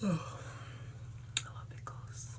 Oh, I love pickles.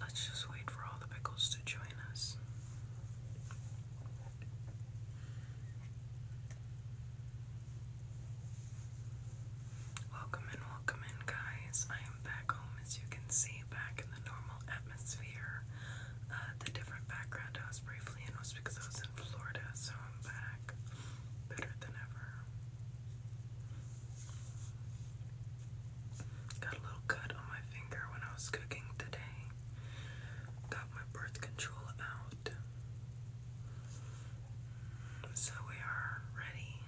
Let's just wait for all the pickles to join us. Welcome in, welcome in, guys. I am back home, as you can see, back in the normal atmosphere. Uh, the different background I was briefly in was because I was in Florida, so I'm back better than ever. Got a little cut on my finger when I was cooking today. Got my birth control out. So we are ready.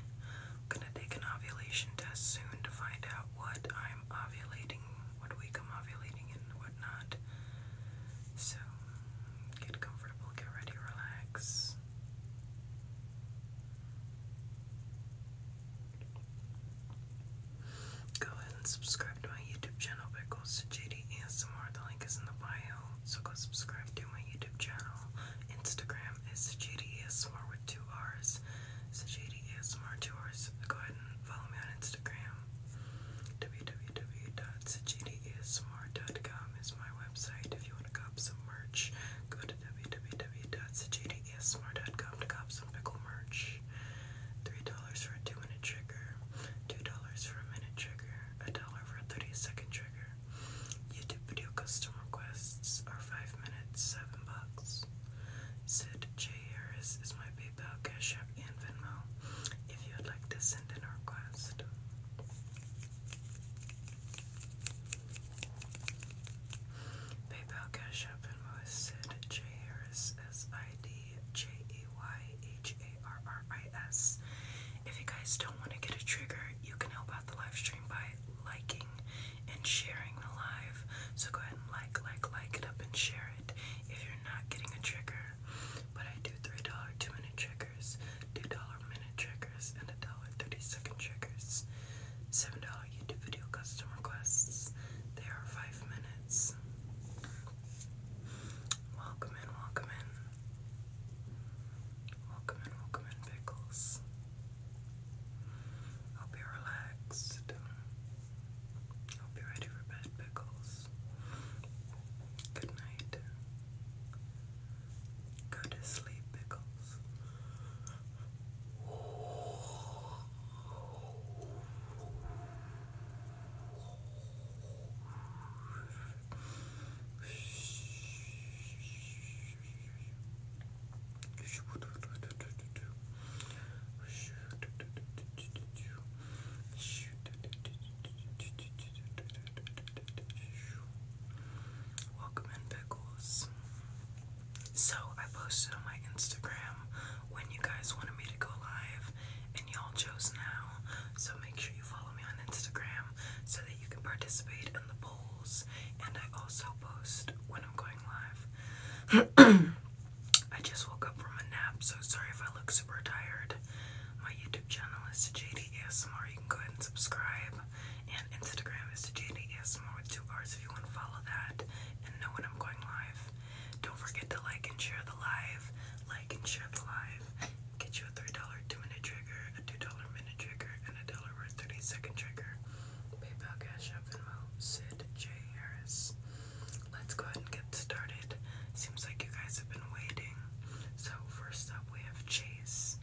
gonna take an ovulation test soon to find out what I'm ovulating, what week I'm ovulating, and whatnot. So get comfortable, get ready, relax. Go ahead and subscribe to my YouTube channel by Ghost to JD ASMR. The link is in the bio. So go subscribe to my YouTube channel. Instagram is JD ASMR with two R's. So JD ASMR Go ahead and follow me on Instagram. www.sajdiasmr.com is my website. If you want to cop some merch, go to www.sajdiasmr.com. Yes, ASMR.com to cop some pickle merch. $3 for a 2 minute trigger, $2 for a minute trigger, $1 for a 30 second trigger. YouTube video custom requests are 5 minutes, 7 bucks. Sid J. Harris is my PayPal, Cash App, and Venmo if you would like to send in a request. PayPal Cash App and with Sid J. Harris If you guys don't want to get a trigger, you can help out the live stream by liking and sharing the live. So go ahead and like, like, like it up and share it if you're not getting a trigger. But I do $3 two minute triggers, $2 minute triggers, and a dollar thirty second triggers. $7 YouTube video custom requests. They are five minutes. Welcome in, welcome in. Welcome in, welcome in, Pickles. Hope you're relaxed. Hope you're ready for bed, Pickles. Good night. Go to sleep, Pickles. Welcome in, Pickles. So I posted on my Instagram when you guys wanted me to go live, and y'all chose now. So make sure you follow me on Instagram so that you can participate in the polls. And I also post when I'm going live. I just woke up from a nap, so sorry if I look super tired. My YouTube channel is JD You can go ahead and subscribe and Instagram is more with two R's if you want to follow that and know when I'm going live. Don't forget to like and share the live. Like and share the live. Get you a $3 two minute trigger, a $2 minute trigger, and a dollar worth 30 second trigger. PayPal Cash App Venmo, Sid J. Harris. Let's go ahead and get started. Seems like you guys have been waiting. So, first up, we have Chase.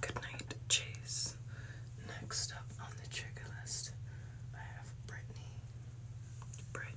Good night, Chase. Next up on the trigger list, I have Brittany. Brittany.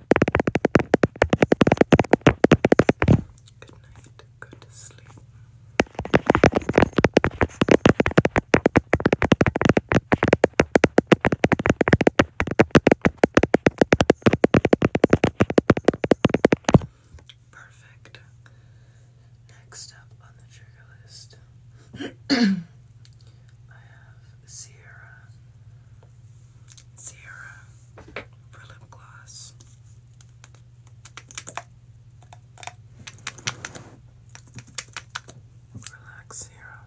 Good night. Go to sleep. Perfect. Next up on the trigger list I Sierra, Sierra lip gloss. Relax, Sierra.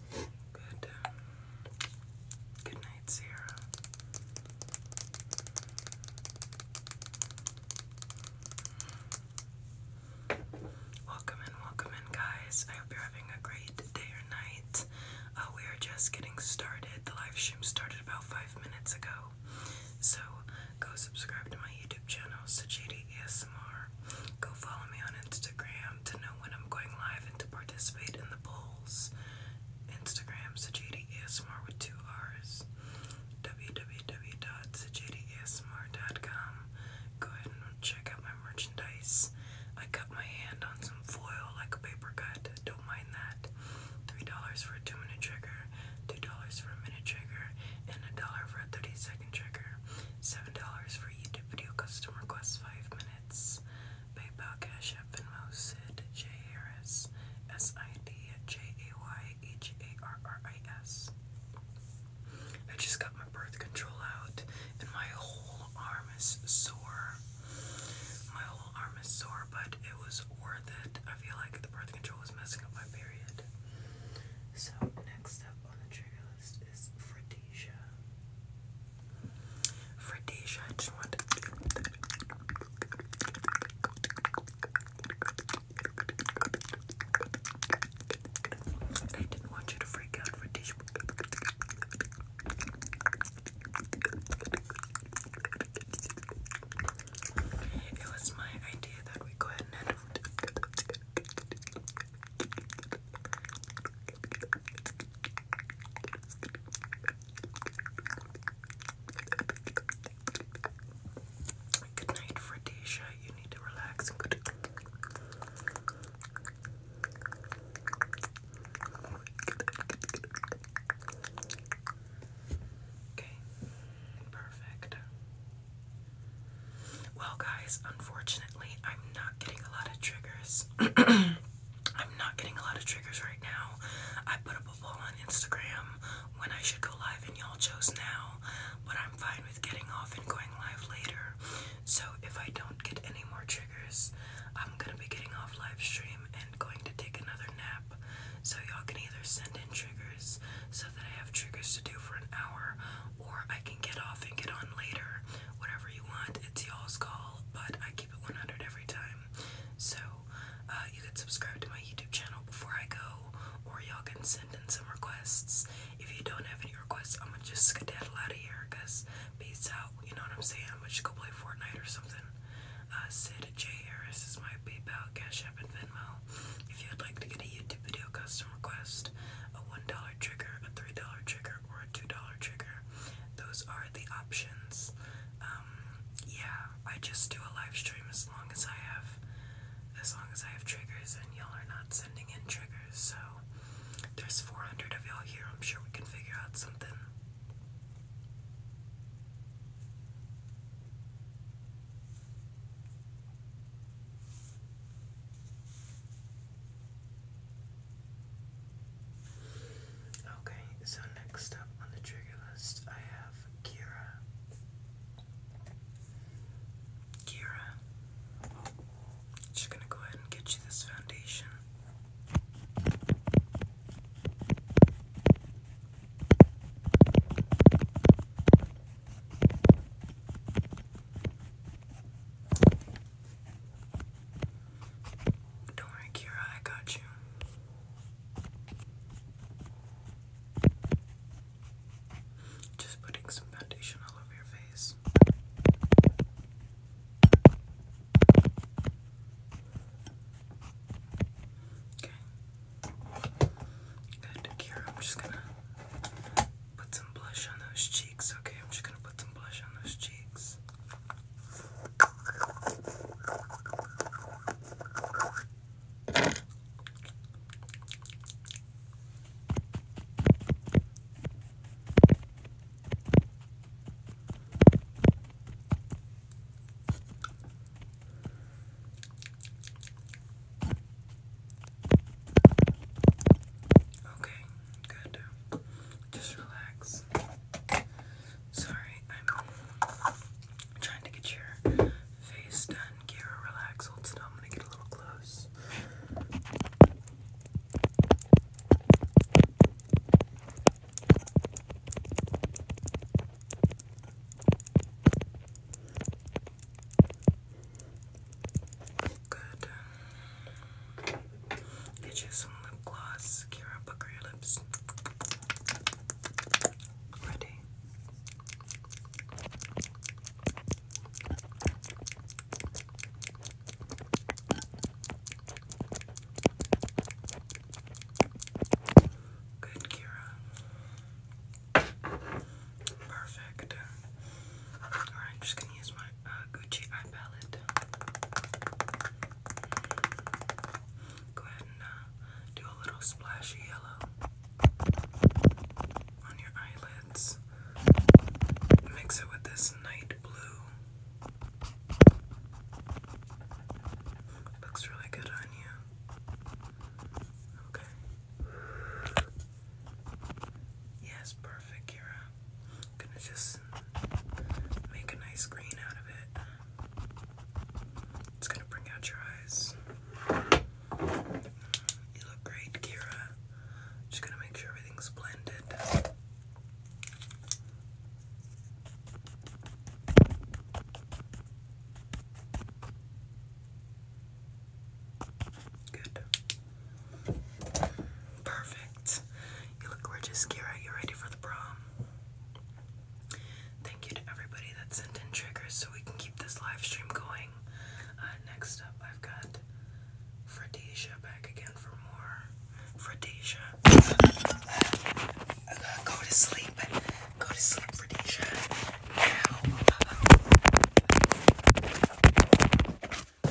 Good. Good night, Sarah. Welcome in, welcome in, guys. I hope you're having a great day or night. Uh, we are just getting started. The live stream started about five minutes ago. So go subscribe to my YouTube channel, Sajidi ASMR. Go follow me on Instagram to know when I'm going live and to participate in the polls. Instagram, Sajidi ASMR with two R's. www.sajidiasmr.com. Go ahead and check out my merchandise. I cut my hand on some foil like a paper cut. Don't mind that. $3 for a 2 minute trigger, $2 for a minute trigger, and $1 for a 30 second trigger. Seven dollars for YouTube video custom requests, five minutes. PayPal, Cash App, Venmo, Sid J Harris, S I D J A Y H A R R I S. I just got my birth control out, and my whole arm is sore. My whole arm is sore, but it was worth it. I feel like the birth control was messing up my period. So next up on the trigger first is Fredesia. Fredesia, I just want I didn't want you to freak out, Fredesia. It was my idea that we go ahead and Good night, Fredisha. You need to relax and go to Okay, perfect. Well, guys, unfortunately, I'm not getting a lot of triggers. I'm not getting a lot of triggers right now. I put up a poll on Instagram when I should go live, and y'all chose now. But I'm fine with getting off and going live later. So if I don't get any more triggers, I'm gonna be getting off live stream and going to take another nap. So y'all can either send in triggers so that I have triggers to do for an hour, or I can get off and get on later. Whatever you want, it's y'all's call, but I keep it 100 every time. So, uh, you can subscribe to my YouTube channel before I go, or y'all can send in some requests. If you don't have any requests, I'm gonna just skedaddle out of here, cause peace out, you know what I'm saying? I'm just go play Fortnite or something. Uh, Sid J. Harris is my PayPal, Cash App, and Venmo. If you'd like to get a YouTube video custom request, a $1 trigger, a $3 trigger, or a $2 trigger. Those are the options. Um, yeah, I just do a live stream as long as I have as long as I have triggers and y'all are not sending in triggers, so there's 400 of y'all here. I'm sure we can figure out something. Okay, so next up on the trigger list, I have Kira. Kira, just gonna go ahead and get you this foundation. Don't worry, Kira, I got you. Just putting some foundation all over your face. Okay. Good, Kira, I'm just gonna Put some blush on those cheeks, okay? I'm just gonna put some blush on those cheeks. Okay, Good. Just relax. Sorry, I'm trying to get your face done. Kira, relax. Hold still. I'm gonna get a little close. Good. Get some lip gloss. Kira, pucker your lips. Ready? Good, Kira. Perfect. Alright, I'm just gonna use my uh, Gucci eye palette. Go ahead and uh, do a little splashy yellow on your eyelids. Mix it with this night blue. Looks really good on you. Okay. Yes, perfect, Kira. Gonna just make a nice green out of it. It's gonna bring out your eyes. You look great, Kira. Just gonna make sure everything's blended. Good. Perfect. You look gorgeous, Kira. You ready for the prom? Thank you to everybody that sent in triggers so we can keep this live stream going. Uh, next up, I've got Fredesia back again for more. Fredesia. go to sleep. Go to sleep, Fredesia. Now. Go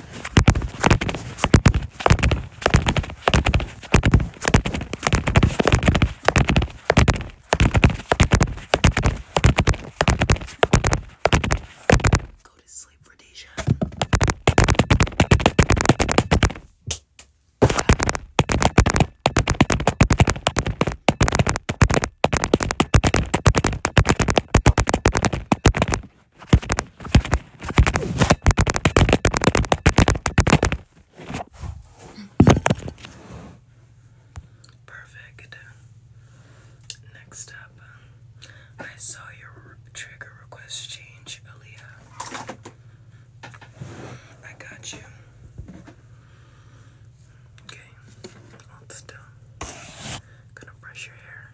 to sleep, Rhodesia. Perfect. Next up, I saw your trigger request change, Aaliyah. I got you. Okay, hold still. Gonna brush your hair.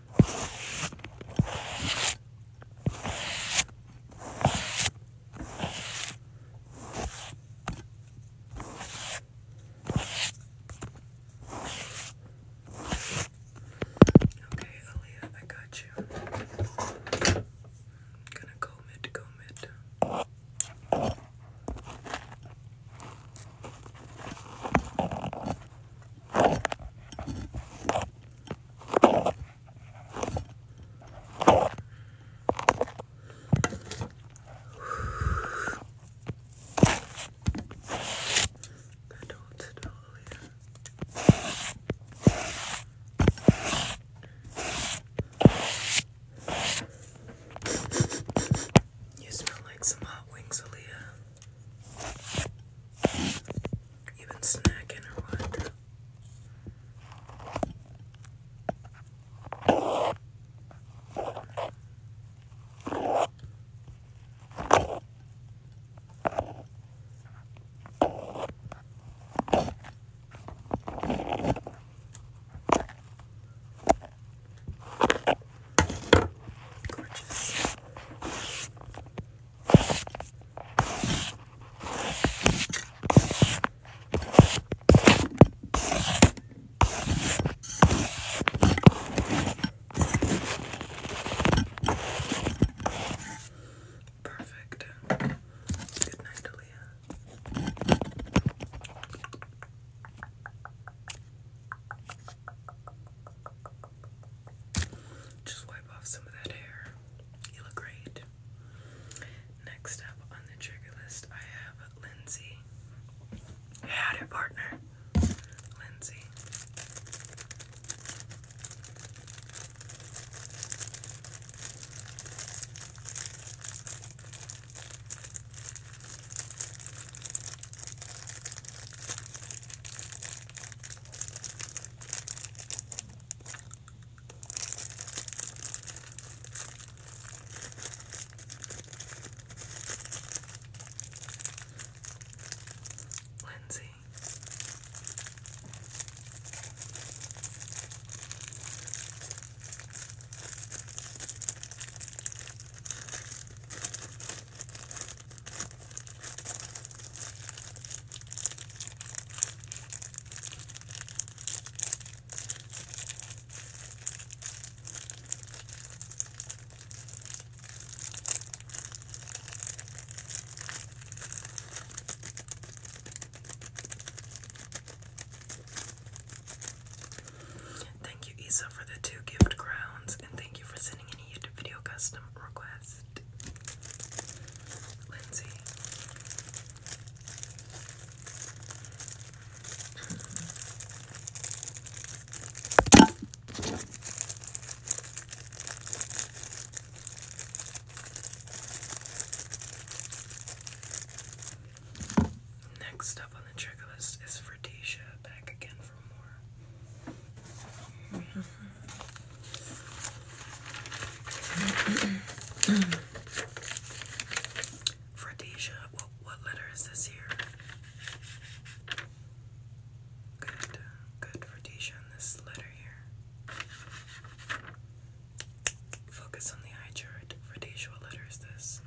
Okay, Aaliyah, I got you. I'm gonna comb it, comb it. Good old Sedalia. You smell like some hot wings, Aaliyah. You been snacking or what? Gorgeous. Perfect. Good night, Aaliyah. Just wipe off some of that hair. You look great. Next up on the trigger list, I have Lindsay. Howdy, partner. Lindsay. Lindsay. Thank you, Isa, for the two gift crowns, and thank you for sending in a video custom request. Next up on the checklist is Fratisha, back again for more. Hmm. Fredicia, what, letter is this here? Good, good Fredicia this letter here. Focus on the eye chart. Fredicia, what letter is this?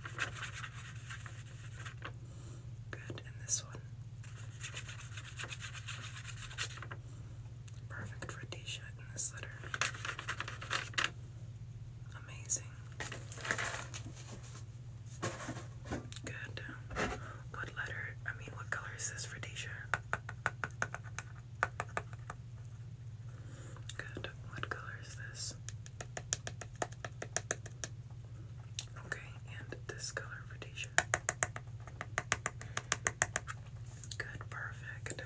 Good, and this one. Perfect for a in this litter. Amazing. Good. What letter, I mean, what color is this for t Good. What color is this? Okay, and this color for t Good, perfect.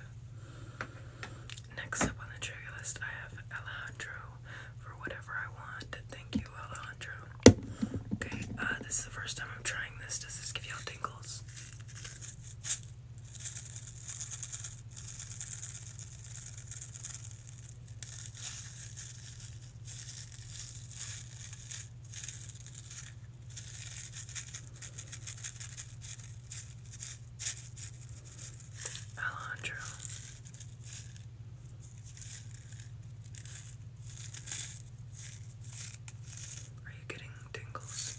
Next up on the trigger list, I have Alejandro for whatever I want. Thank you, Alejandro. Okay, uh, this is the first time I'm trying this. Does this give y'all tingles? Alejandro. Are you getting tingles?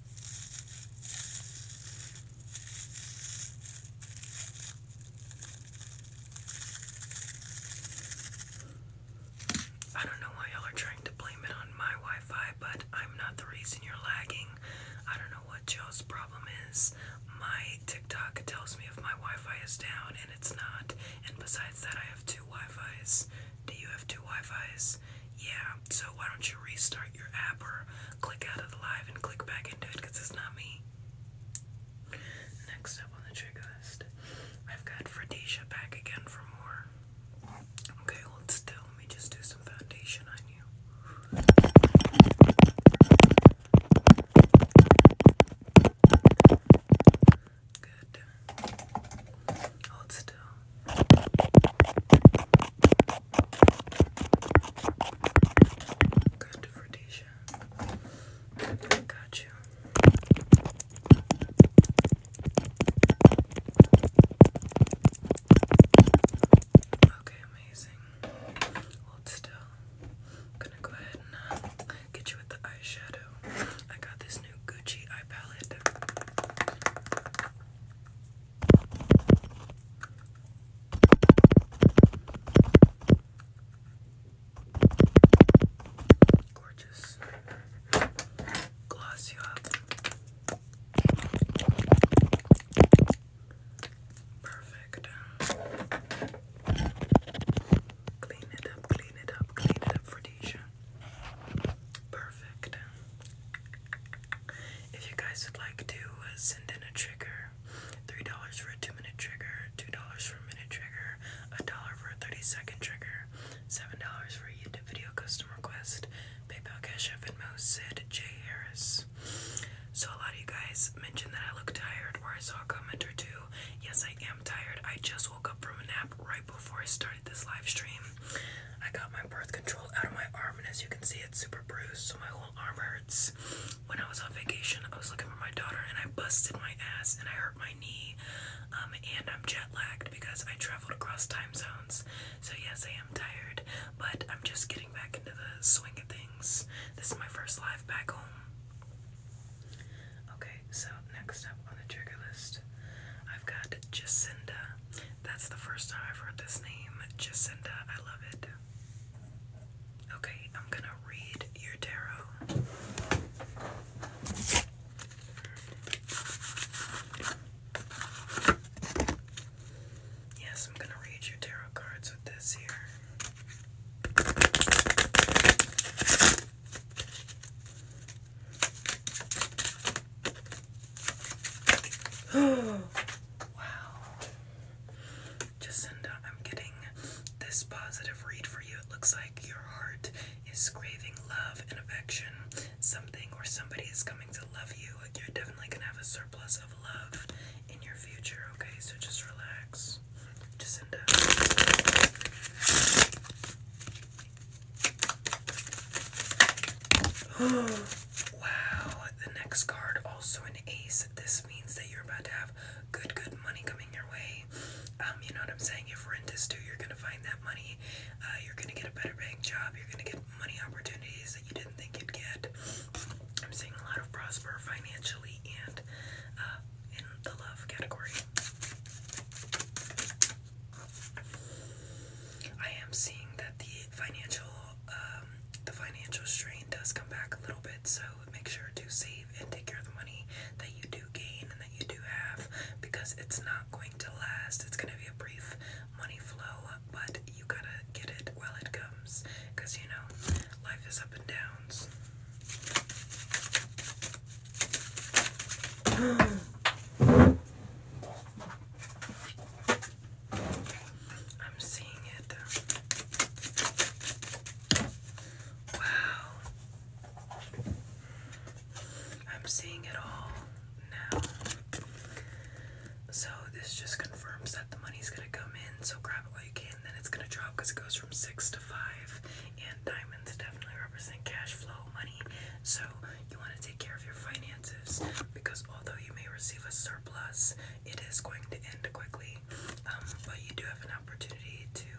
I don't know why y'all are trying to blame it on my Wi Fi, but I'm not the reason you're lagging. I don't know what y'all's problem is. My TikTok tells me if my Wi Fi is down, and it's not. And besides that, I have two Wi Fi's. Do you have two Wi-Fis? Yeah. So why don't you restart your app or click out of the live and click back into it because it's not me. Next up on the trigger list, I've got Fredisha back again for more. Okay, hold still. Let me just do some foundation on you. Good. Hold still. Good for Tisha. Got you. Okay, amazing. Hold still. gonna go ahead and uh, get you with the eyeshadow. I got this new Gucci eye palette. Gorgeous. Gloss you up. Perfect. Clean it up, clean it up, clean it up for Deja. Perfect. If you guys would like to send in a trigger, three dollars for a two-minute trigger, two dollars for a minute trigger, a dollar for a thirty-second trigger, seven dollars for a YouTube video custom request, PayPal Cash App and Mo said J Harris. So a lot of you guys mentioned that I look tired, or I saw a comment or two. Yes, I am tired. I just woke up from a nap right before I started this live stream. I got my birth control out of my arm, and as you can see, it's super bruised, so my whole arm hurts. When I was on vacation, I was looking for my daughter, and I busted my ass, and I hurt my knee, um, and I'm jet lagged because I traveled across time zones. So yes, I am tired, but I'm just getting back into the swing of things. This is my first live back home. Okay, so next up on the trigger list, I've got Jacinda. That's the first time I've heard this name. Jacinda, I love it. Okay, I'm gonna read your tarot. Yes, I'm gonna read your tarot cards with this here wow. Jacinda, I'm getting this positive read for you. It looks like your heart is craving love and affection. Something or somebody is coming to love you. You're definitely going to have a surplus of love in your future, okay? So just relax. Jacinda. Oh. Wow, the next card, also an ace. This means that you're about to have good, good money coming your way. Um, you know what I'm saying? If rent is due, you're gonna find that money. Uh, you're gonna get a better bank job. You're gonna get money opportunities that you didn't think you'd get. I'm seeing a lot of prosper financially and uh, in the love category. I am seeing that the financial um, the financial strain does come back a little bit, so make sure to save and take care of the money that you do gain and that you do have because it's not going to last. It's gonna be a brief money flow, but you gotta get it while it comes because you know life is up and downs. I'm seeing it. Wow. I'm seeing it all now. So this just confirms that the money's gonna come in, so grab it while you can, then it's gonna drop because it goes from six to five. And diamonds definitely represent cash flow money. So you want to take care of your finances because although you may receive a surplus, it is going to end quickly. Um, but you do have an opportunity to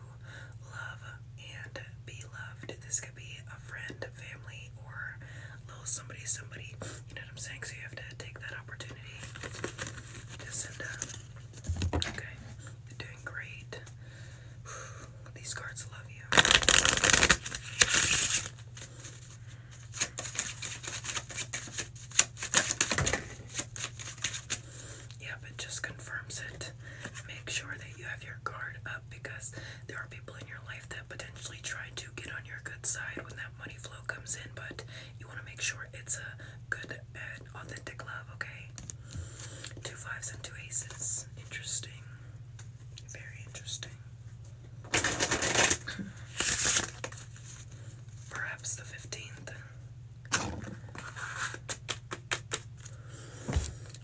love and be loved. This could be a friend, family, or little somebody, somebody. You know what I'm saying? So you have to take that opportunity. Jacinda. Uh, okay. You're doing great. These cards love you. Yep, it just confirms it. Make sure that you have your guard up because there are people in your life that potentially try to get on your good side when that money flow comes in, but you want to make sure it's a good and authentic love, okay? Two fives and two aces. Interesting. Very interesting. Perhaps the 15th.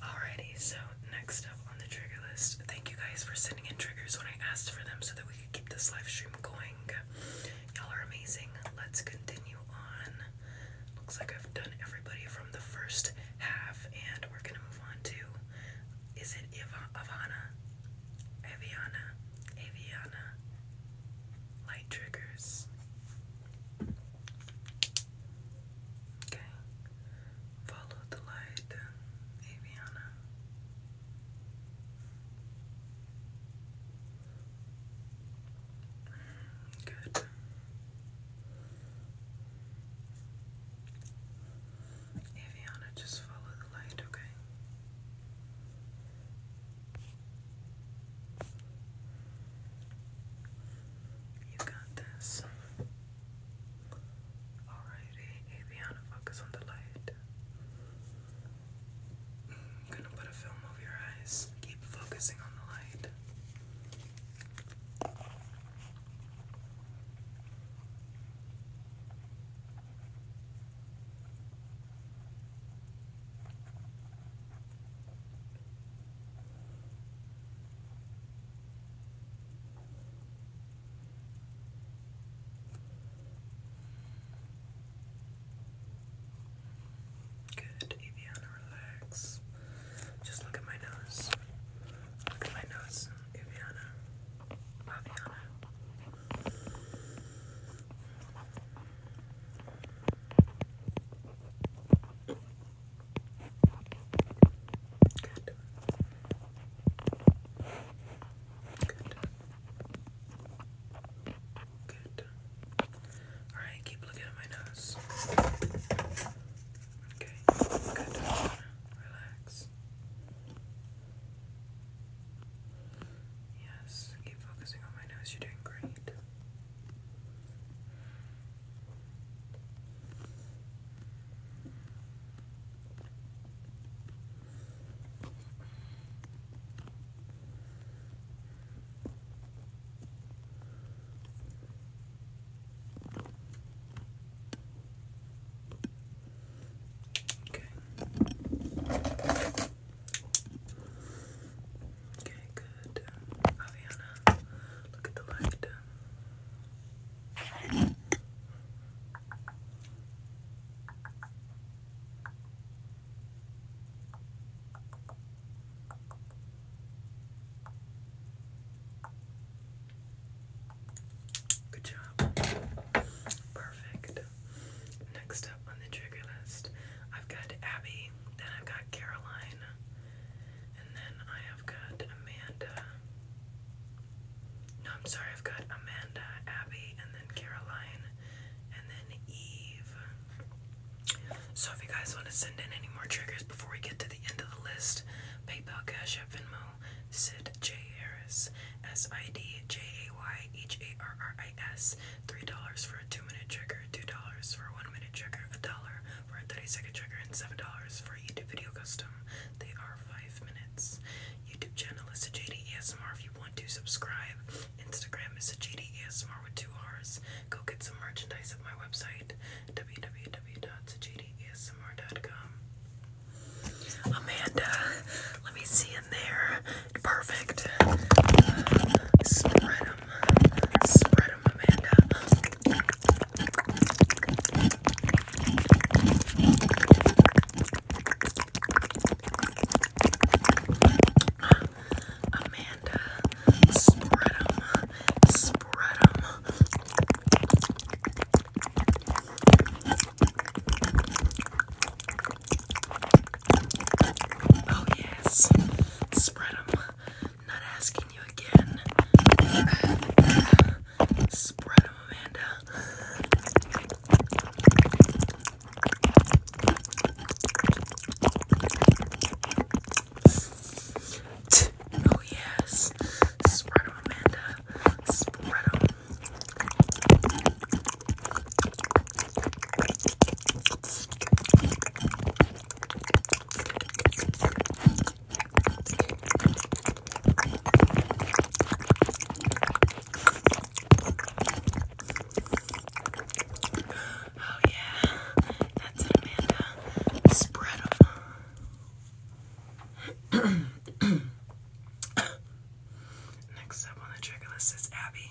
Alrighty, so next up on the trigger list, thank you guys for sending in triggers when I asked for them so that we could keep this live stream going. Y'all are amazing. Let's continue on. Looks like I've done everybody from the first half, and we're gonna move on to is it Ivana? Aviana? Aviana? Light triggers. Okay. Follow the light, Aviana. Good. Aviana, just follow the light, okay? You got this. Alrighty, Aviana, focus on the light. I'm gonna put a film over your eyes. Keep focusing on the light. Good, Aviana, relax. Just look at my nose. Look at my nose, Aviana. Good. Good. Good. Alright, keep looking at my nose. Okay, good. Relax. Yes, keep focusing on my nose. You're doing great. Okay. Okay, good. Aviana, look at the light. Good job. Perfect. Next up on the trigger list, I've got Abby, then I've got Caroline, and then I have got Amanda. No, I'm sorry, I've got Amanda, Abby, and then Caroline, and then Eve. So if you guys want to send in any more triggers before we get to the end of the list, PayPal, Cash App, Venmo, Sid J. Harris, S I D J A Y H A R R I S, $3 for a 2 minute trigger, $2 for a 1 minute trigger, $1 for a 30 second trigger, and $7 for a YouTube video custom. They are 5 minutes. YouTube channel is a JD ASMR if you want to subscribe. Instagram is a JD ASMR with 2 R's. Go get some merchandise at my website www.jdasmr.com. Amanda, let me see in there. Perfect. spread them. Spread them, Amanda. Amanda, spread them. Spread them. Oh, yes. Spread them. Not asking you again. Spread them, Amanda. Oh, yes. Spread Amanda. Spread Oh, yeah, that's it, Amanda. Spread them. Next up on the trigger list is Abby.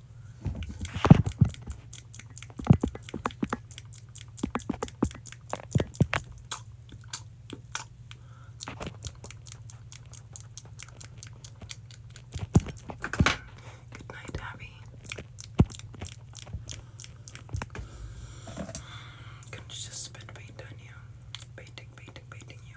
Good night, Abby. Couldn't you just spit paint on you? Painting, painting, painting you.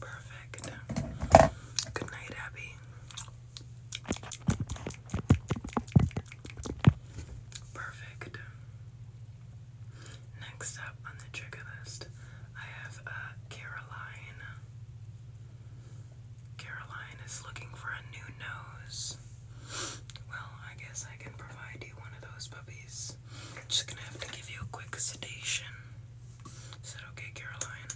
Perfect. Good night, Abby. Perfect. Next up on the trigger I have uh, Caroline. Caroline is looking for a new nose. Well, I guess I can provide you one of those puppies. I'm just gonna have to give you a quick sedation. Is that okay, Caroline?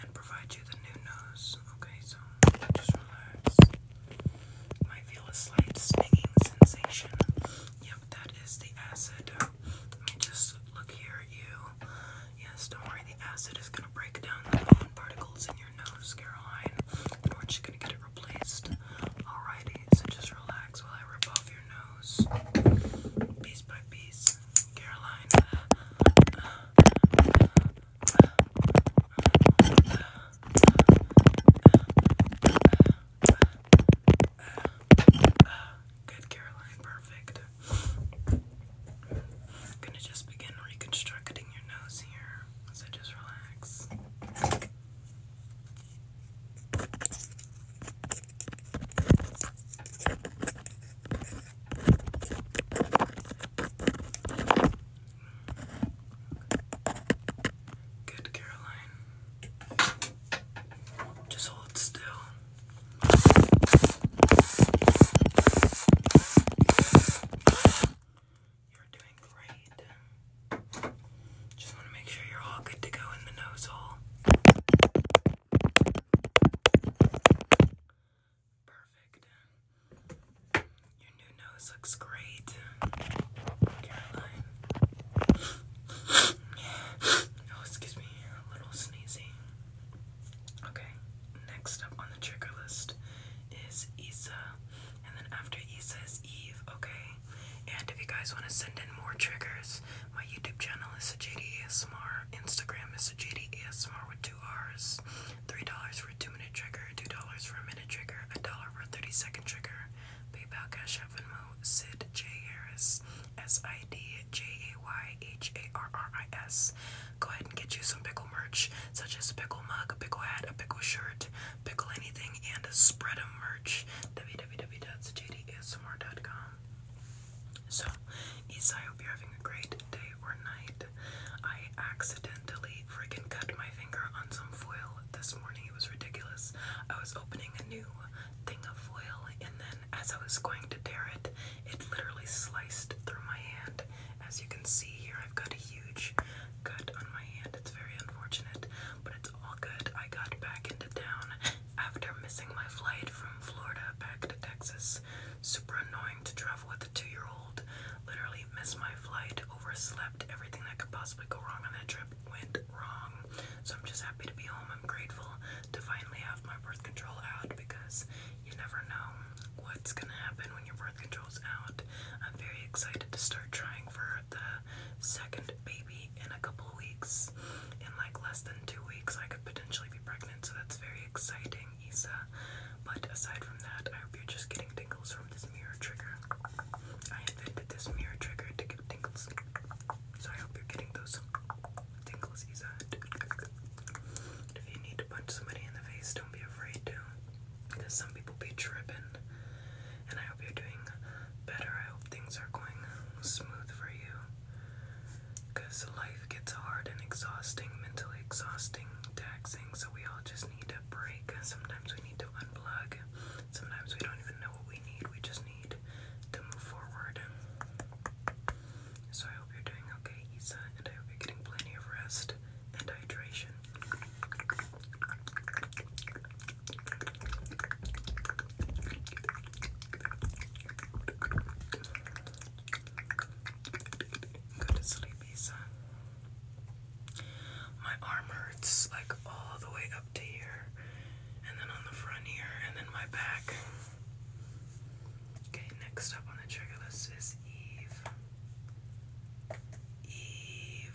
And provide you the new nose. Okay, so just relax. might feel a slight stinging sensation. Yep, that is the acid. just look here you. Yes, don't worry, the acid is gonna break down the bone particles in your nose, Caroline. we're just gonna get it Alrighty, so just relax while I rip off your nose piece by piece. Caroline. Good, Caroline. Perfect. I'm gonna just begin reconstructing your nose here. So just relax. Good, Caroline. Just hold still. You're doing great. Just want to make sure you're all good to go in the nose hole. Perfect. Your new nose looks great, Caroline. oh, excuse me, a little sneezy. Okay, next up on the trigger list is Isa, and then after Isa is Eve, okay? And if you guys want to send in more triggers, my YouTube channel is Sajidi ASMR. Instagram is Sajidi ASMR with two R's. $3 for a 2 minute trigger, $2 for a minute trigger, a dollar for a 30 second trigger. PayPal, Cash App, Venmo, Sid J. Harris, S-I-D-J-A-Y-H-A-R-R-I-S. Go ahead and get you some pickle merch, such as a pickle mug, a pickle hat, a pickle shirt, pickle anything, and spread a merch. www.sajidiasmr.com. So, Isai, I hope you're having a great day or night. I accidentally freaking cut my finger on some foil this morning. It was ridiculous. I was opening a new thing of foil, and then as I was going to tear it, it literally sliced through my hand. As you can see here, I've got a huge cut on my hand. It's very unfortunate but it's all good. I got back into town after missing my flight from Florida back to Texas. Super annoying to travel with a two year old. Literally missed my flight, overslept, everything that could possibly go wrong on that trip went wrong. So I'm just happy to be home. I'm grateful to finally have my birth control out because you never know what's gonna happen when your birth control's out. I'm very excited to start trying for the second baby in a couple weeks. In like less than two weeks, I could potentially be pregnant, so that's very exciting, Isa. But aside from that, I hope you're just getting tingles from this mirror trigger. I invented this mirror trigger to get tingles, so I hope you're getting those tingles, Isa. If you need to punch somebody in the face, don't be afraid to, because some people be tripping and I hope you're doing better. I hope things are going smooth for you. Because life gets hard and exhausting, mentally exhausting, taxing, so we all just need a break. Sometimes we need to unplug, sometimes we don't even know what we need, we just need to move forward. So I hope you're doing okay, Isa, and I hope you're getting plenty of rest and hydration. Go to sleep, Isa. My arm hurts like all the way up to here, and then on the front here, and then my back. Okay, next up on the trigger list is Eve. Eve.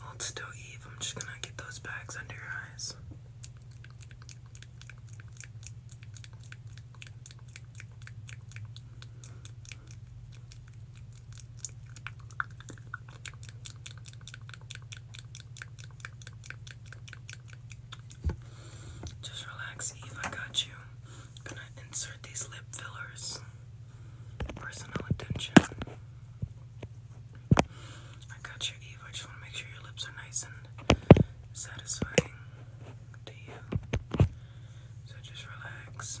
Hold still, Eve. I'm just gonna get those bags under your eyes. Just relax, Eve. I got you. gonna insert these lip fillers. Personal attention. I got you, Eve. I just want to make sure your lips are nice and satisfying to you. So just relax.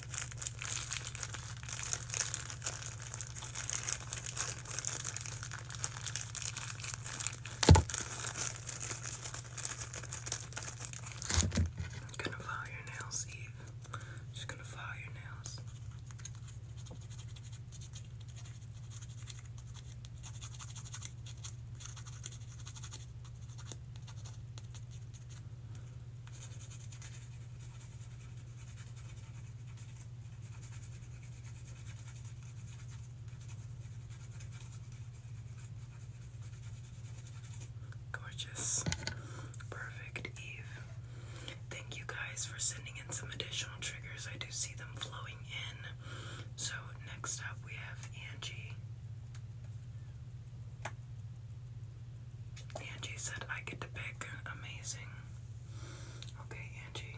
gonna file your nails, Eve. Just gonna file your nails. Gorgeous. Perfect, Eve. Thank you guys for sending in some additional triggers. I do see them flowing in. So, next up we have Angie. Angie said I get to pick. Amazing. Okay, Angie.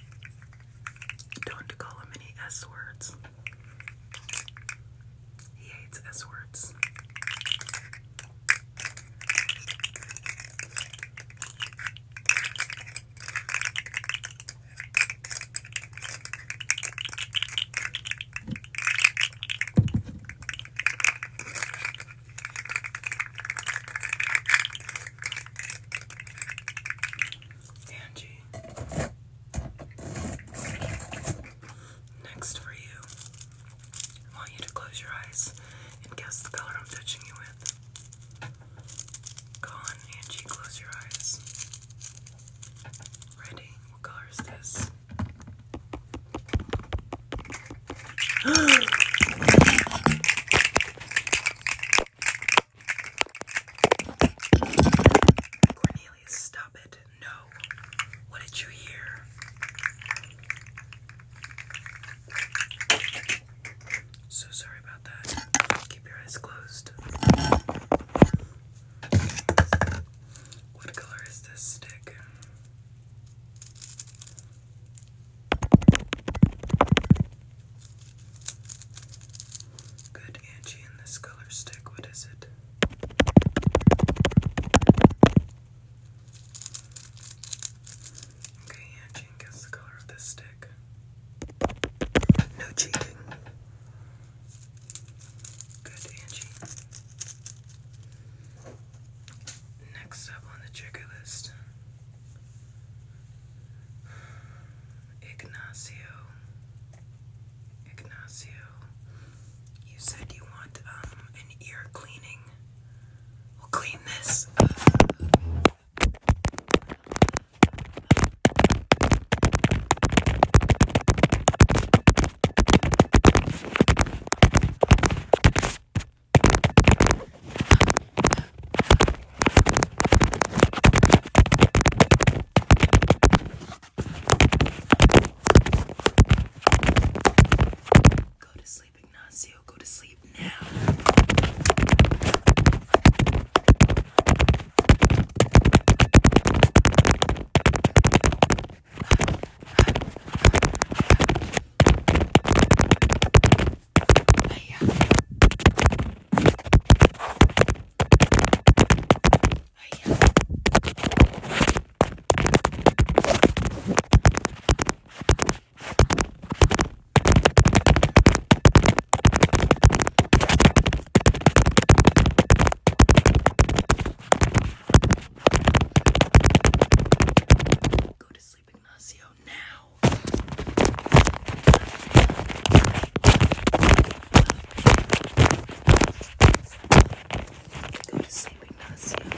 Don't call him any S words. He hates S words. Angie. Next for you, I want you to close your eyes and guess the color I'm touching you with. Go on, Angie, close your eyes. Ready? What color is this? Cornelius, stop it. No. What did you hear? So sorry about that. Keep your eyes closed. What color is this stick? Good Angie in this color stick. What is it? Okay, Angie, guess the color of this stick. No cheating. Good, Angie. Next up on the trigger list Ignacio, Ignacio, you said you want um, an ear cleaning. We'll clean this. Go to sleep, Ignacio. Go to sleep now. But yeah. But yeah. Go to sleep sleep, Ignacio, now. Go to sleep, Ignacio. I'm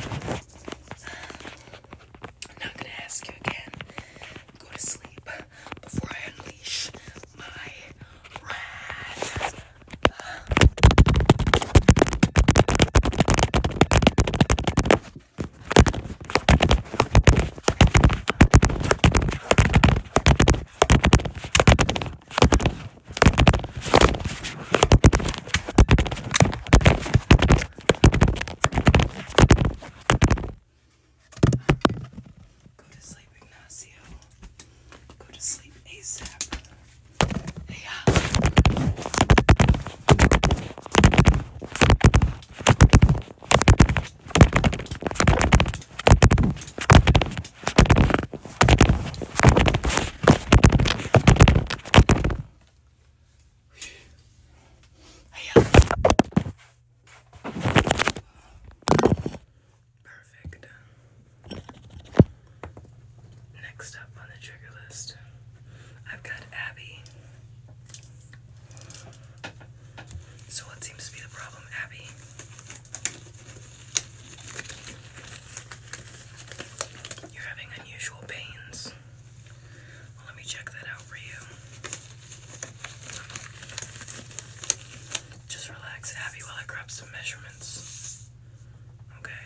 not gonna ask you again. Go to sleep before I unleash my wrath. Go to sleep, Ignacio. Go to sleep ASAP. Hey, uh. Perfect. Next up on the trigger list, I've got Abby. So, what seems to be the problem, Abby? You're having unusual pains. let me check that out for you. Just relax, Abby, while I grab some measurements. Okay.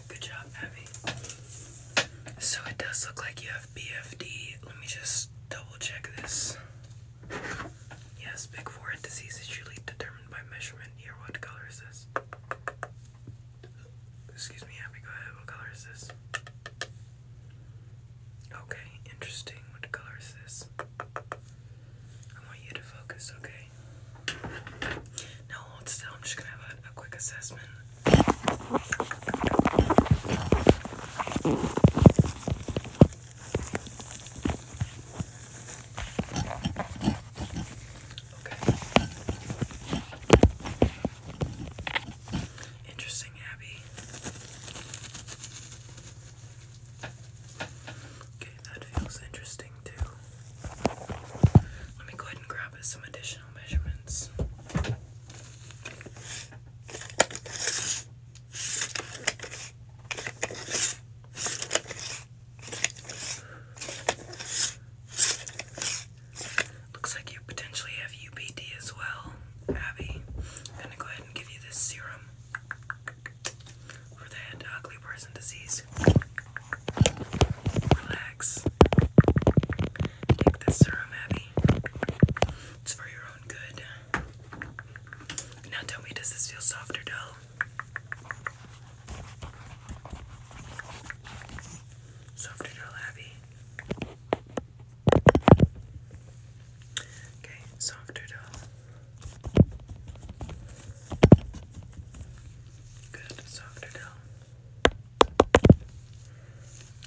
Good job, Abby. So it does look like you have BFD. Let me just double check this. Yes, big forehead disease is usually determined by measurement. Here, what color is this? Excuse me, Abby, go ahead. What color is this? Okay, interesting. What color is this? I want you to focus, okay? Okay. still. I'm just gonna have a quick assessment. Okay. Interesting, Abby. Okay, that feels interesting too. Let me go ahead and grab some additional measurements. Looks like you potentially have UPD as well, Abby. I'm gonna go ahead and give you this serum for the head uh, ugly person disease. Relax. Take this serum, Abby. for your own good. Now tell me, does this feel soft dull? Soft dull, Abby? Okay, soft dull. Good, softer down.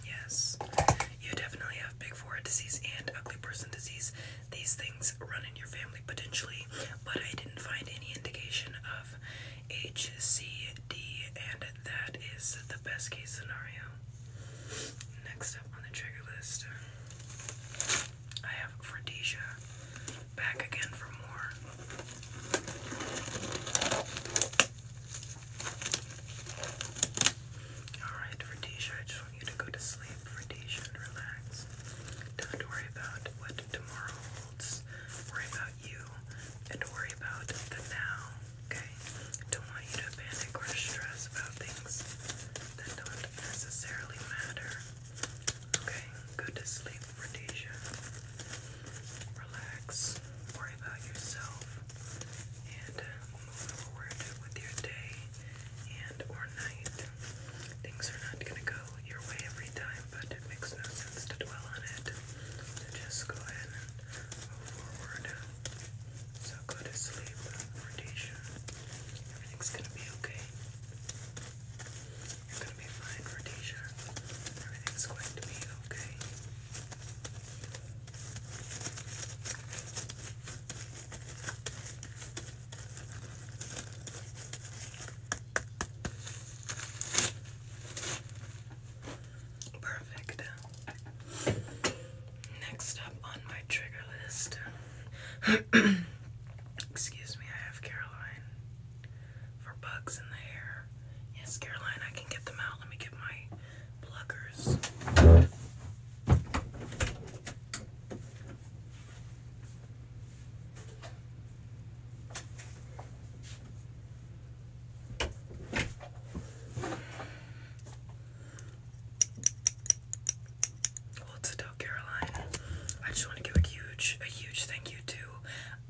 Yes, you definitely have big forehead disease and ugly person disease. These things run in your family potentially, but I didn't find any indication of HCD, and that is the best case scenario. Next up on the trigger list, I have Fredesia back again for more. Alright, for Tisha, I just want you to go to sleep for Tisha and relax. Don't worry about what tomorrow holds. Worry about you and worry about the now, okay? Don't want you to panic or stress about things that don't necessarily matter. Okay, go to sleep, Rhodesia. Relax, worry about yourself, and uh, move forward with your day and or night. Things are not going to go your way every time, but it makes no sense to dwell on it. So just go ahead and move forward. So go to sleep, Rhodesia. Everything's going to be okay. You're gonna be fine, Rhodesia. Everything's going to be okay. Perfect. Next up on my trigger list. Excuse me, I have Caroline for bugs in the hair. Yes, Caroline, I can get them out. Let me get my pluggers. Hold still, Caroline. I just want to give a huge, a huge thank you to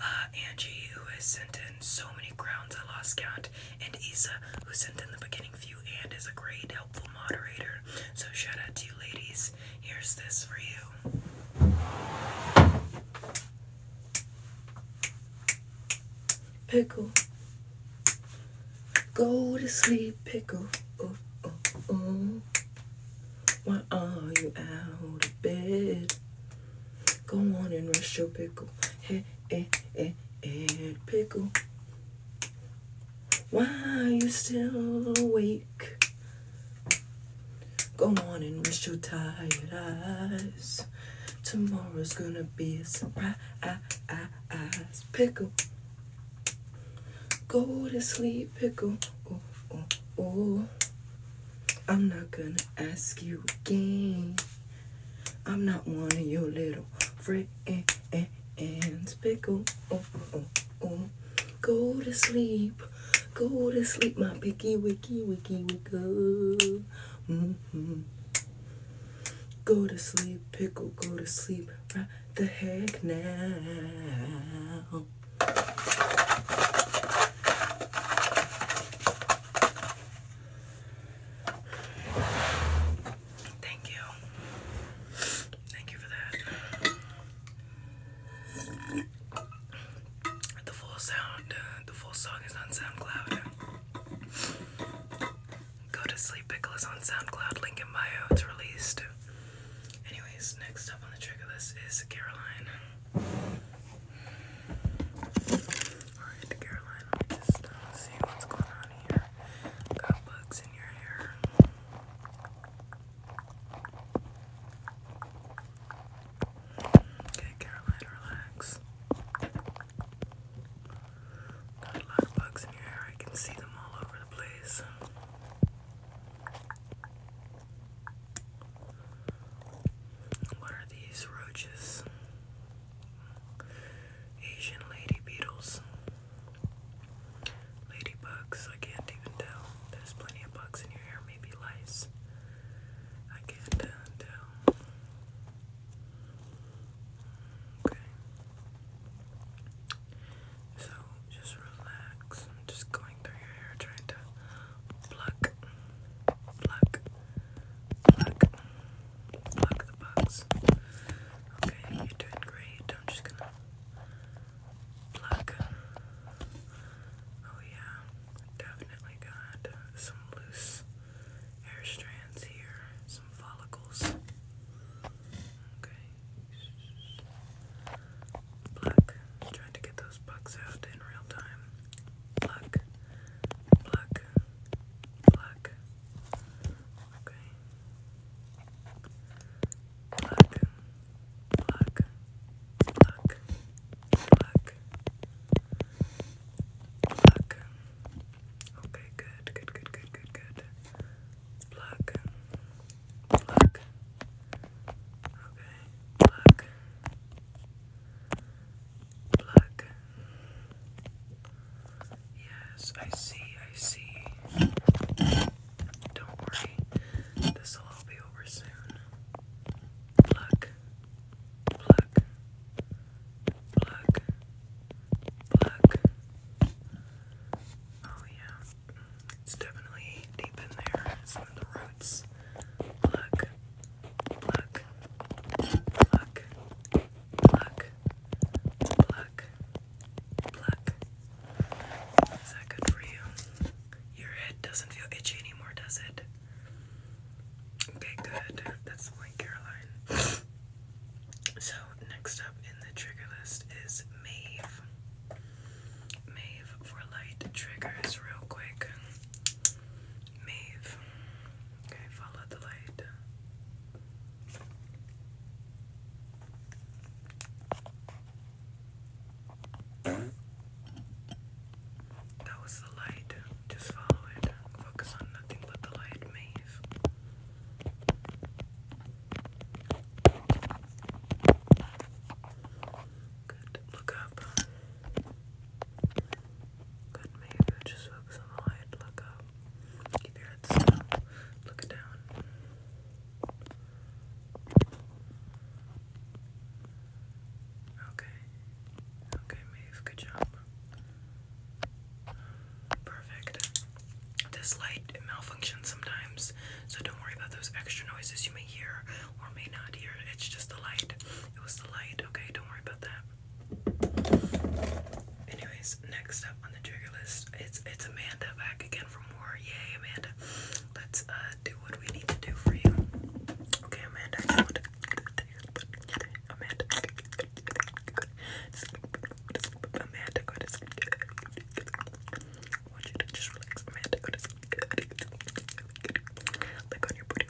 uh, Angie, who has sent in so many crowns, I lost count, and Isa, who sent in the beginning few and is a great, helpful moderator. So, shout out to you ladies. Here's this for you. Pickle. Go to sleep, pickle. Oh, oh, oh. Why are you out of bed? Go on and rush your pickle. Hey, hey, eh, eh, hey, eh, hey, pickle. Why are you still awake? Go on and rest your tired eyes. Tomorrow's gonna be a surprise. Pickle. Go to sleep, pickle. Oh, oh, oh. I'm not gonna ask you again. I'm not one of your little friends. Pickle, oh, oh, oh. oh. Go to sleep, go to sleep, my picky wicky wicky wicko. Mm -hmm. Go to sleep, pickle, go to sleep right the heck now. Thank you. Thank you for that. The full sound, uh, the full song is on SoundCloud. Go to Sleep Pickles on SoundCloud, link bio, it's released. Anyways, next up on the trigger is Caroline. Alright, Caroline, just uh, see what's going on here. Got bugs in your hair. Okay, Caroline, relax. Got a of bugs in your hair. I can see them all over the place. What are these roaches? Asian lady beetles. Ladybugs, I can't even tell. There's plenty of bugs in your hair, maybe lice. I can't uh, tell. Okay. So just relax. I'm just going through your hair trying to pluck, pluck, pluck, pluck the bugs. Okay, you're doing great. I'm just gonna pluck. Oh yeah, definitely got some loose hair strands here, some follicles. Okay pluck, trying to get those bugs out in real time. Pluck, pluck, pluck. Okay. Pluck, pluck, pluck, pluck, pluck. Okay, good, good, good, good, good, good. Pluck, pluck. Okay, pluck, Black. Yes, I see, I see. Don't worry, this will all be over soon. Black. Black. Black. Black. Oh, yeah. It's definitely deep in there. It's in roots. Pluck, pluck, pluck, pluck, pluck, Is that good for you? Your head doesn't feel itchy anymore, does it? Okay, good. That's like Caroline. so, next up in the trigger list is Maeve. Maeve for light triggers, real quick. Mave. Okay, follow the light. That was the light. Just follow it. Focus on nothing but the light, Maeve. Good. Look up. Good move. Just focus on the light. Look up. Um, keep your head still. Look down. Okay. Okay, move. Good job. Perfect. This light malfunctions sometimes, so don't worry about those extra noises you may hear or may not hear It's just the light. It was the light, okay? Don't worry about that. Anyways, next up on the trigger list, it's it's Amanda back again for more. Yay, Amanda. Let's uh, do what we need to do for you. Okay, Amanda, I Amanda Amanda go you to just relax. Amanda go on your booty.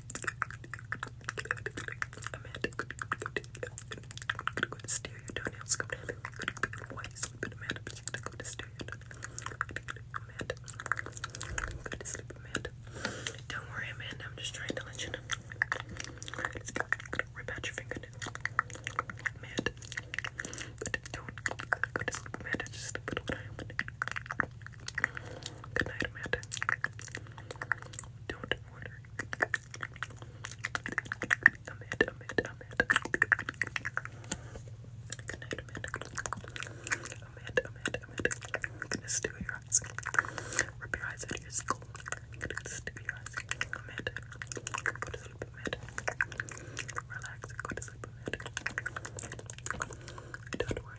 Amanda. I'm gonna go to stereo toenails. Come down. Why are you sleeping, Amanda? But you gotta go to stereo toenails. Amanda. Go to sleep, Amanda. Don't worry, Amanda. I'm just trying to let you know. Let's go. Rip out your fingernails. Amanda. Don't go to sleep, Amanda. Just sleep with one eye open. Good night, Amanda. Don't order. Amanda, Amanda, Amanda. Good night, Amanda. Amanda, Amanda, Amanda. Goodness to your eyes. Rip your eyes out of your skull. Goodness to your eyes. Amanda. Go to sleep, Amanda. Relax. Go to sleep, Amanda. Don't worry.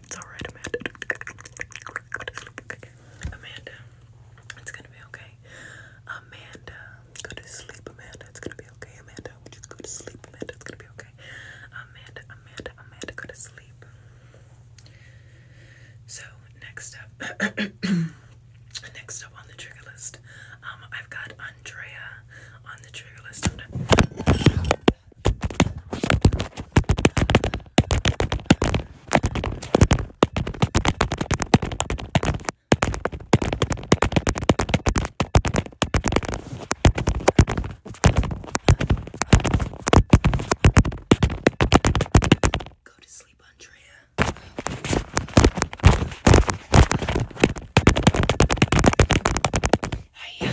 It's alright, Amanda. Amanda, it's gonna be okay. Amanda, go to sleep, Amanda. It's gonna be okay, Amanda. Would you go to sleep, Amanda? It's gonna be okay. Amanda, Amanda, Amanda, go to sleep. So, next up, next up on the trigger list, um, I've got Andrea on the trigger list. Go to sleep, Andrea. Hiya.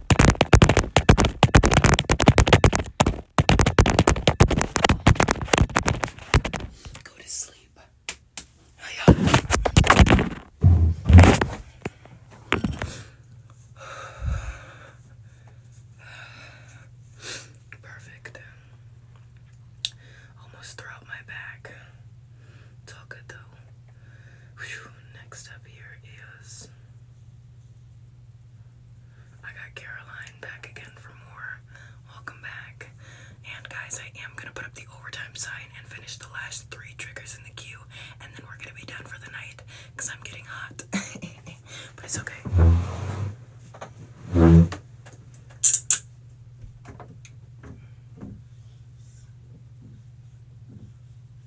Go to sleep. Oh, Perfect. Almost throughout my back. It's all good though. Next up here is I got Caroline back again for more. Welcome back. And guys, I am gonna put up the overtime sign and finish the last three triggers in the queue, and then we're gonna be done for the night because I'm getting hot. but it's okay.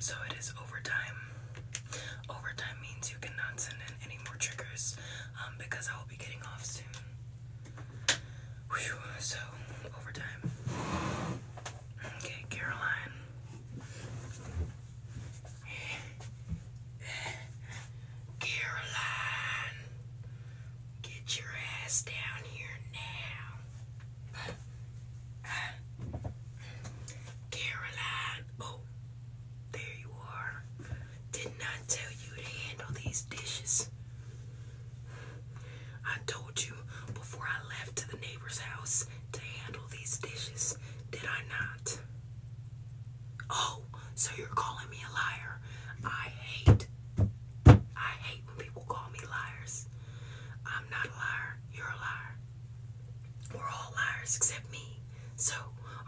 So it is overtime. Overtime means you cannot send in any more triggers um, because I will be getting off soon. so, overtime. Okay, Caroline. Caroline, Get your ass down here now. Caroline, oh, there you are. Didn't tell you to handle these dishes? I told you before I left to the neighbor's house to handle these dishes, did I not? Oh, so you're calling me a liar. I hate I hate when people call me liars. I'm not a liar. You're a liar. We're all liars except me. So,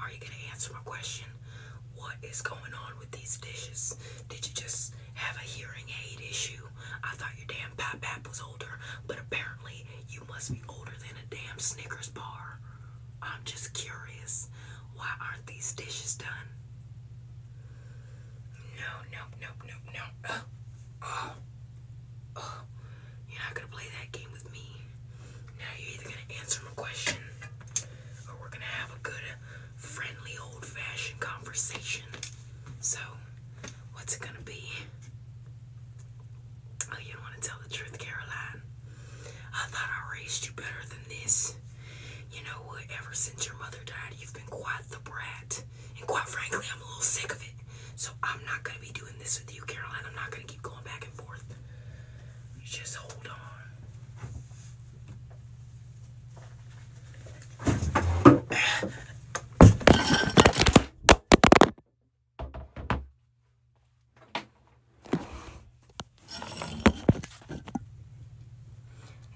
are you gonna answer my question? What is going on with these dishes? Did you just have a hearing aid issue? I thought your damn pop pop was older, but apparently you must be older than a damn Snickers bar. I'm just curious. Why aren't these dishes done? No, no, no, no, no. You're not gonna play that game with me. Now you're either gonna answer my question, or we're gonna have a good, friendly, old-fashioned conversation. So, what's it gonna be? Oh, you don't want to tell the truth, Caroline. I thought I raised you better than this. You know Ever since your mother died, you've been quite the brat. And quite frankly, I'm a little sick of it. So I'm not going to be doing this with you, Caroline. I'm not going to keep going back and forth. just hold on.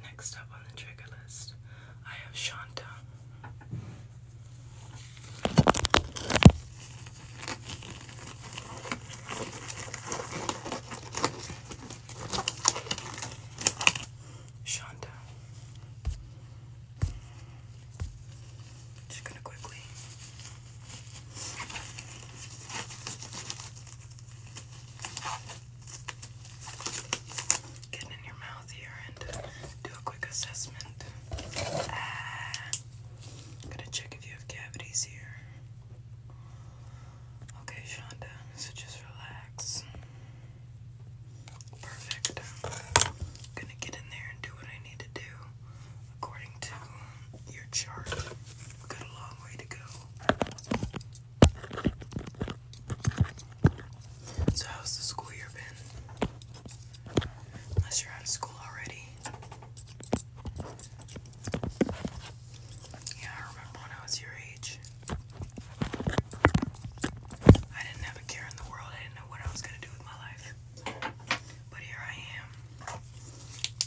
Next up on the trigger list, I have Shanta. Shanta. Just gonna quickly Get in your mouth here and uh, do a quick assessment. I'm ah, gonna check if you have cavities here. Okay, Shonda, so just relax. Perfect. gonna get in there and do what I need to do according to your chart. got a long way to go. So, how's the school year been? Unless you're out of school already. Yeah, I remember when I was your age. I didn't have a care in the world. I didn't know what I was going to do with my life. But here I am.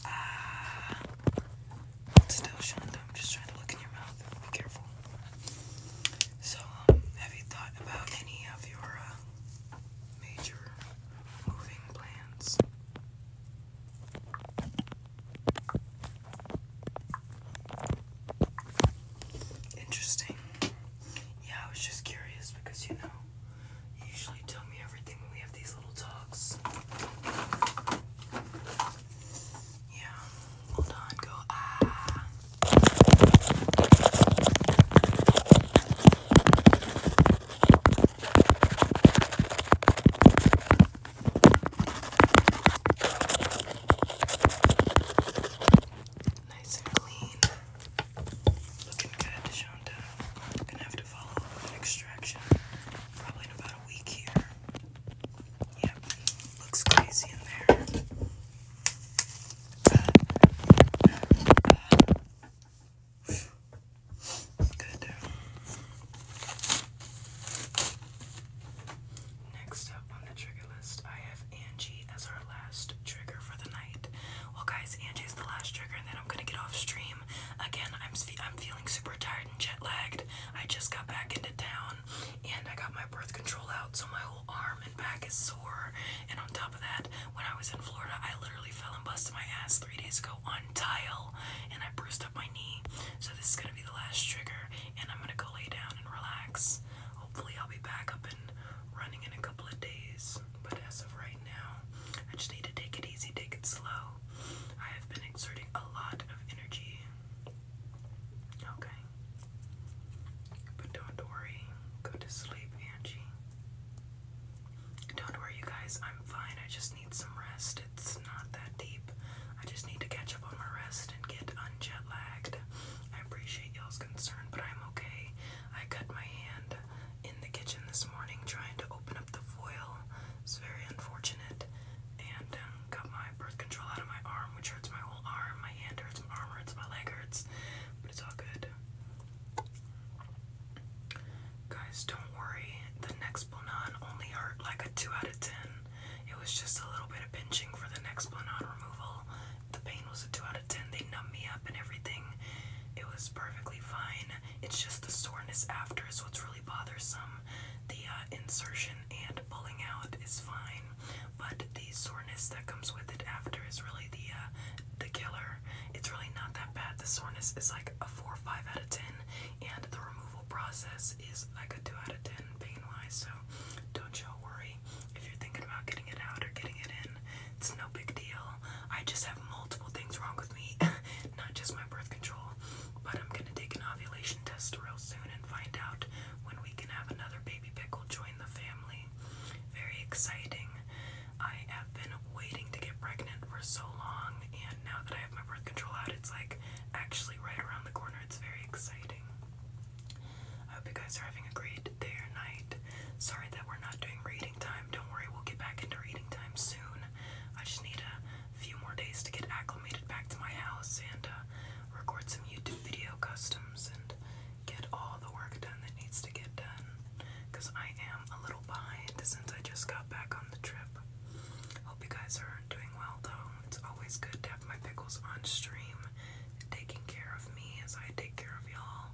Ah, Still, Shonda, I'm just trying to look in your mouth. Be careful. So, um, have you thought about any of your uh, major moving plans? Interesting. Yeah, I was just curious because you know, you usually tell me everything when we have these little talks. Yeah. Hold on. Go. Ah. Nice and clean. Looking good, Shonda. gonna have to follow up with extraction. Probably about a week here. Yep, looks crazy in there. Good. Next up on the trigger list, I have Angie as our last trigger for the night. Well, guys, Angie is the last trigger, and then I'm gonna get off stream. Again, I'm I'm feeling super tired and jet lagged. I just got back into town and I got my birth control out, so my whole arm and back is sore. And on top of that, when I was in Florida, I literally fell and busted my ass three days ago on tile, and I bruised up my knee. So this is gonna be the last trigger, and I'm gonna go lay down and relax. Hopefully, I'll be back up and running in a couple of days. But as of right now, I just need to take it easy, take it slow. I have been exerting a lot of energy Okay. But don't worry. Go to sleep, Angie. Don't worry, you guys. I'm fine. I just need some rest. It's not that deep. I just need to catch up on my rest and get unjet lagged. I appreciate y'all's concern, but I'm okay. I cut my hand in the kitchen this morning trying to open up the foil it's very unfortunate. And um, got my birth control out of my arm, which hurts my whole arm. My hand hurts, my arm hurts, my leg hurts. But it's all good. Guys, don't worry. The next Bonan only hurt like a 2 out of 10. It was just a little bit of pinching for the next Bonan removal. The pain was a 2 out of 10. They numbed me up and everything. It was perfectly fine. It's just the soreness after is what's really bothersome the uh, insertion and pulling out is fine, but the soreness that comes with it after is really the uh, the killer. It's really not that bad. The soreness is like a four or five out of ten, and the removal process is like a two out of ten pain-wise. So don't you worry if you're thinking about getting it out or getting it in. It's no big deal. I just have multiple things wrong with me, not just my birth control. But I'm gonna take an ovulation test real soon find out when we can have another baby pickle join the family. Very exciting. I have been waiting to get pregnant for so long, and now that I have my birth control out, it's like actually right around the corner. It's very exciting. I hope you guys are having a great day or night. Sorry that we're not doing reading time. Don't worry, we'll get back into reading time soon. I just need a few more days to get acclimated back to my house and uh, record some YouTube video customs and get all the work done that needs to get done. Because I am a little behind since I just got back on the trip. Hope you guys are doing well though. It's always good to have my pickles on stream, taking care of me as I take care of y'all.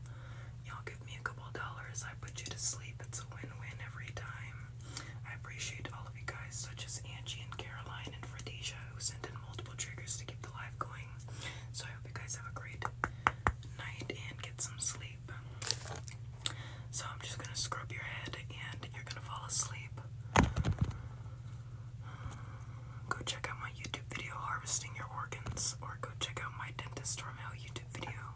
Y'all give me a couple dollars, I put you to sleep. It's a win win every time. I appreciate all of you guys, such as Angie and Caroline and Fredesia, who sent in multiple triggers to keep the live going. So I hope you guys have a great night and get some sleep. So I'm just gonna scrub your head and you're gonna fall asleep. Go check out my YouTube video, Harvesting Your Organs, or go check out my Dentist Romeo YouTube video.